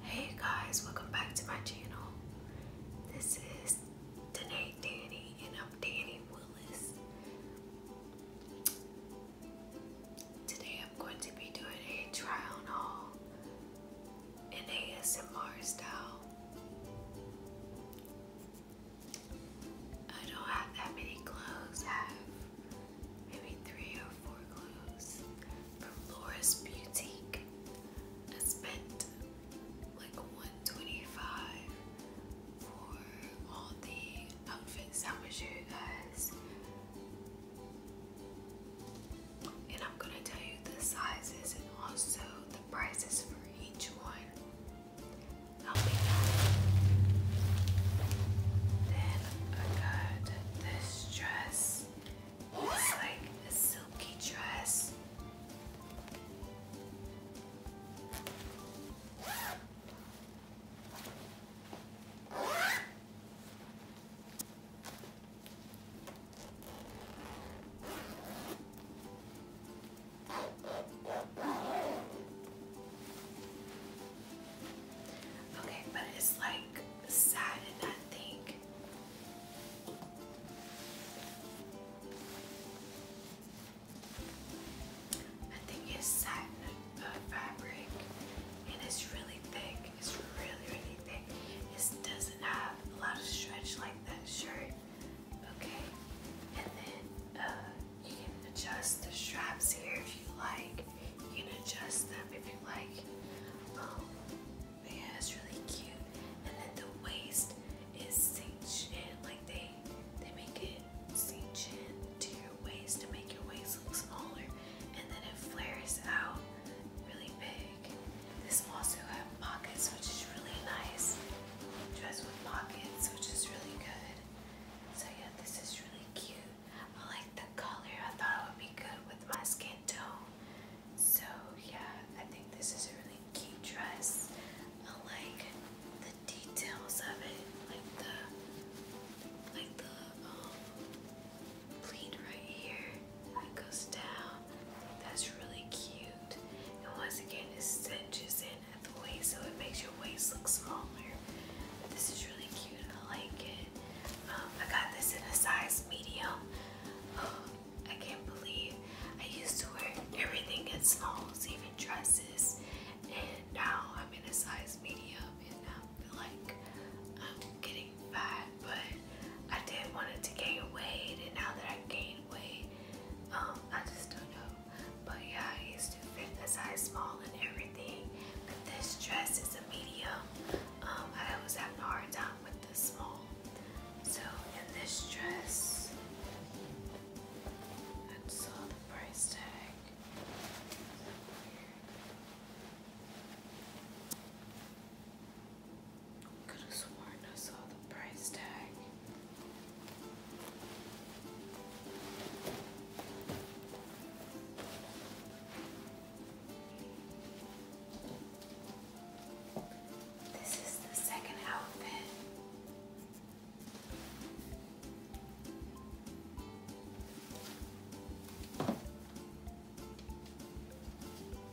Hey guys, welcome back to my channel. This is Danae Danny and I'm Danny Willis. Today I'm going to be doing a try on haul in ASMR style. I don't have that many clothes maybe three or four clues from Laura's Boutique. I spent like 125 for all the outfits I'm gonna show you guys. And I'm gonna tell you the sizes and also the prices for each one. Then I got this this dress. It's like a silky dress. Okay, but it's like sad in that I think it's satin fabric and it's really thick. It's really, really thick. It doesn't have a lot of stretch like that shirt. Okay, and then uh, you can adjust the straps here if you like. You can adjust them if you like. Um, yeah, it's really cute. And then the waist is cinched in, like they they make it cinched in to your waist to make your waist look smaller, and then it flares out really big. This also has pockets, which is really nice. Dress with pockets, which is really good. So yeah, this is really cute. I like the color. I thought it would be good with my skin tone. So yeah, I think this is a really cute dress. I like the details of it, like the like the um pleat right here that goes down. That's really cute. And once again, it cinches in at the waist so it makes your waist look smaller. But this is really cute. and I like it. Um, I got this in a size medium. I can't believe I used to wear everything in smalls, even dresses. And now I'm in a size medium and I am like I'm getting fat. But I did not want it to gain weight and now that I gained weight, um, I just don't know but yeah, I used to fit a size small and everything. But this dress is a medium. Um, I always have a hard time with the small. So in this dress, I saw the price tag. Could have sworn I saw the price tag. This is the second outfit.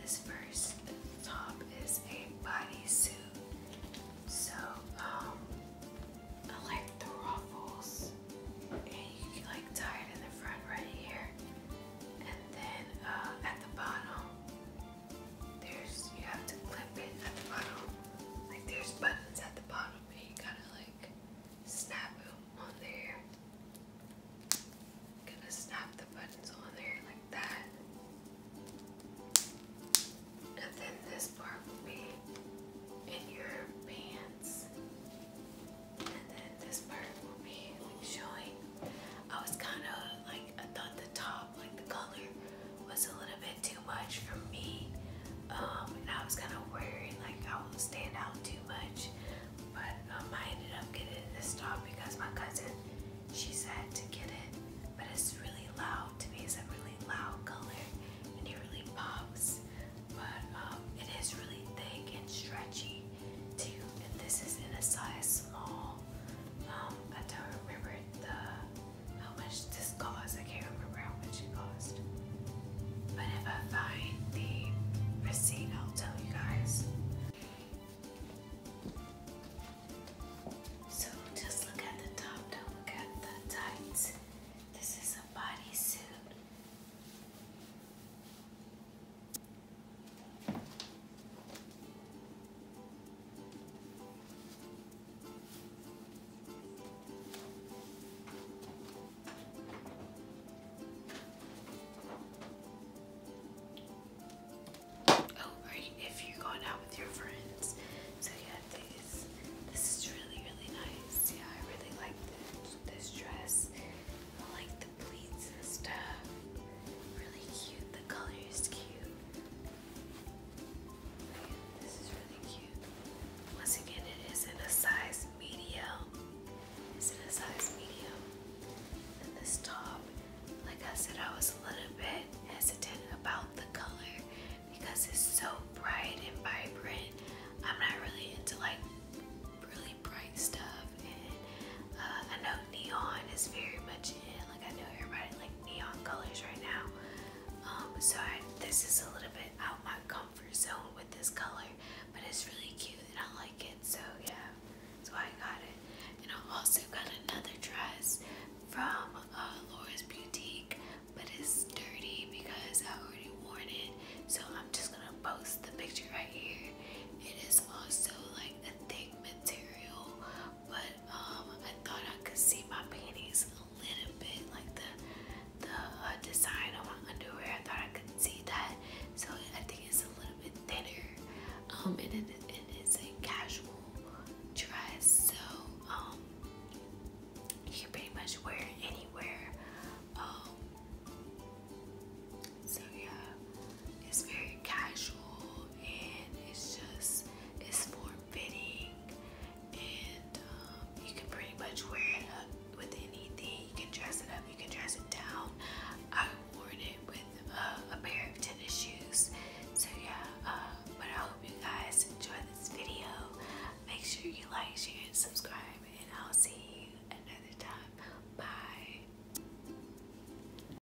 This first top is a bodysuit. So, um, I like the ruffles. And you like tie it in the front right here. And then uh, at the bottom, there's, you have to clip it at the bottom. Like there's buttons at the bottom and you gotta like snap it on there. i gonna snap the buttons on there like that. And then this part will be in your pants. And then this part will be showing. I was kind of like, I thought the top, like the color was a little bit too much for me. Um, and I was kind of worried like I would stand out too much. But um, I ended up getting this dog because my cousin, she said to get it. But it's really loud. To me, it's a really loud color and it really pops. But um, it is really thick and stretchy too. And this is in a size small. Um, I don't remember the how much this cost. I can't remember how much it cost. But if I find the receipt, I'll tell you guys. So just look at the top, don't look at the tights. This is a bodysuit. Oh, right, if you're going out with your friends. So yeah, these this is really really nice. Yeah, I really like this dress. I like the pleats and stuff. Really cute. The color is cute. This is really cute. Once again, it is in a size medium. It's in a size medium. this top, like I said, I was a little bit hesitant about the color because it's so bright and vibrant. I'm not really into like really bright stuff, and uh, I know neon is very much in. Like I know everybody like neon colors right now. Um, so this is a little bit out my comfort zone with this color, but it's really cute and I like it. So yeah, that's why I got it. And I also got another dress from uh, Laura's Boutique, but it's dirty because I already wore it. So I'm just gonna post the picture right here. It is also like a thick material but um, I thought I could see my panties a little bit, like the the uh, design on my underwear. I thought I could see that, so I think it's a little bit thinner. Um, and it, it is a casual dress, so um, you can pretty much wear it anywhere. Um, so yeah, it's very casual and it's just it's more fitting and um, you can pretty much wear it up with anything. You can dress it up, you can dress it down. I wore it with uh, a pair of tennis shoes. So yeah, uh, but I hope you guys enjoy this video. Make sure you like, share, and subscribe and I'll see you another time. Bye.